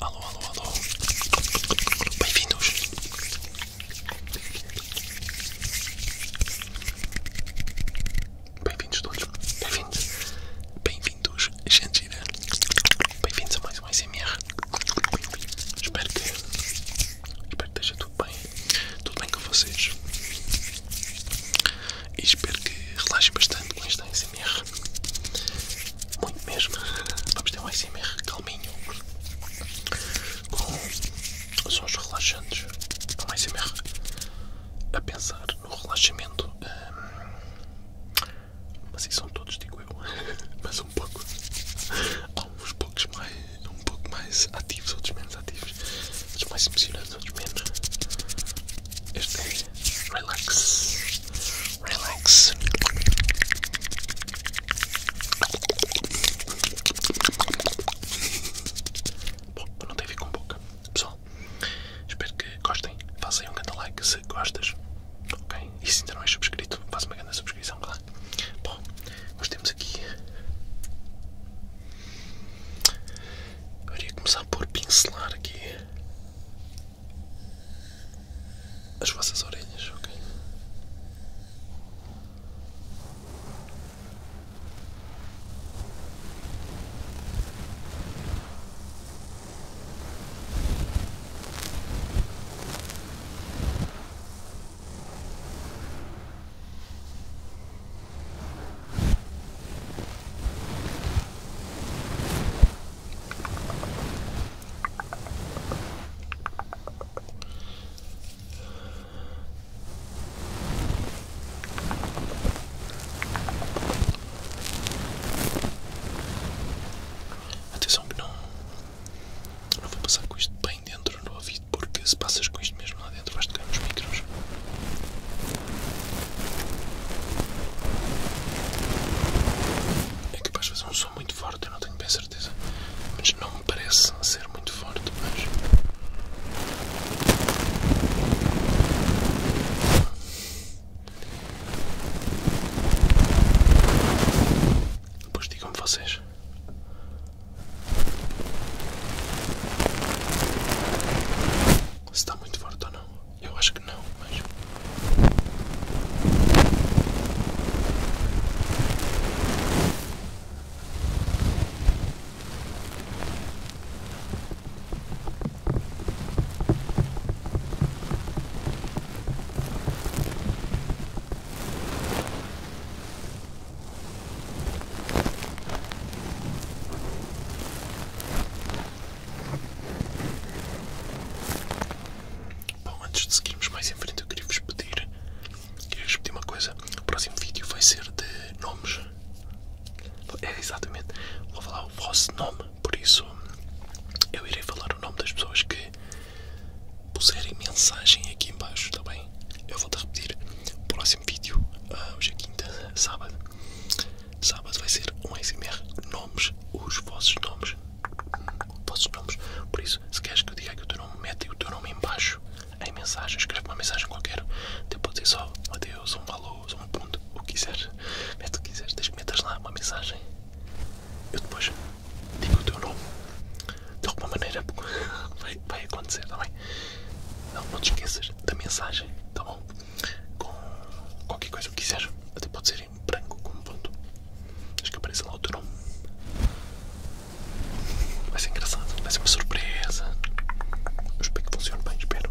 Alô, alô, alô. Bem-vindos. Bem-vindos todos. Bem-vindos. Bem-vindos, gente. Bem-vindos a mais um SMR. Espero que, espero que esteja tudo tudo bem? com vocês? E espero que relaxem bastante com esta ASMR. Muito mesmo. Vamos ter um ASMR calminho. Com sons relaxantes. Um ASMR a pensar no relaxamento. Hum, mas isso são todos, digo eu. Mas um pouco. Há uns poucos mais, um pouco mais ativos, outros menos ativos livros, uns mais impressionantes, outros menos. Este é Relax. Relax. Bom, não tem a ver com boca. Pessoal, espero que gostem. Façam um grande like se gostas. Ok? E se ainda não és subscrito, faz uma grande subscrição, claro. Bom, nós temos aqui eu iria começar por pincelar aqui as vossas orelhas, ok? Atenção que não, não vou passar com isto bem dentro no aviso porque se passas com isto mesmo lá dentro vais tocar nos micros. É capaz de fazer um som muito forte, eu não tenho bem certeza, mas não me parece ser muito forte, mas... Depois digam-me vocês se está muito forte ou não? Eu acho que não, mas. Bom, antes de seguirmos mais em frente, eu queria vos pedir, queria vos pedir uma coisa. O próximo vídeo vai ser de nomes. É exatamente, vou falar o vosso nome, por isso eu irei falar o nome das pessoas que puserem mensagem aqui embaixo, está bem? Eu vou-te repetir. O próximo vídeo, ah, hoje é quinta, sábado. Sábado vai ser um SMR nomes, os vossos nomes. Vossos nomes. Por isso, se queres que eu diga que o teu nome, mete o teu nome embaixo em mensagem, escreve uma mensagem qualquer. Até pode dizer só adeus, um valor um ponto, o que quiseres. Mete o que quiseres, desde metas lá uma mensagem. Eu depois digo o teu nome de alguma maneira, vai, vai acontecer, está bem? Não, te esqueças da mensagem, tá bom? Com qualquer coisa que quiseres, até pode ser em branco como ponto. Acho que apareça lá o teu nome. Vai ser engraçado, vai ser uma surpresa. espero que funcione bem, espero.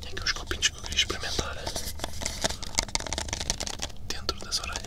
Tem aqui os copinhos que eu queria experimentar dentro das orelhas.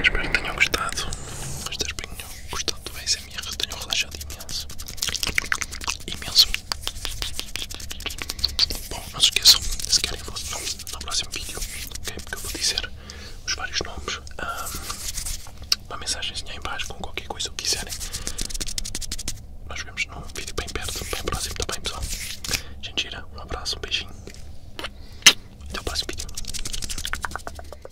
Espero que tenham gostado. Espero que gostado do ASMR. ASMR, relaxado imenso. Imenso. Bom, não se esqueçam, se querem votar no próximo vídeo, ok? Porque eu vou dizer os vários nomes. Um, uma mensagenzinha aí embaixo com qualquer coisa que quiserem. Nós vemos num vídeo bem perto, bem próximo também, pessoal. Gente, um abraço, um beijinho. Até o próximo vídeo.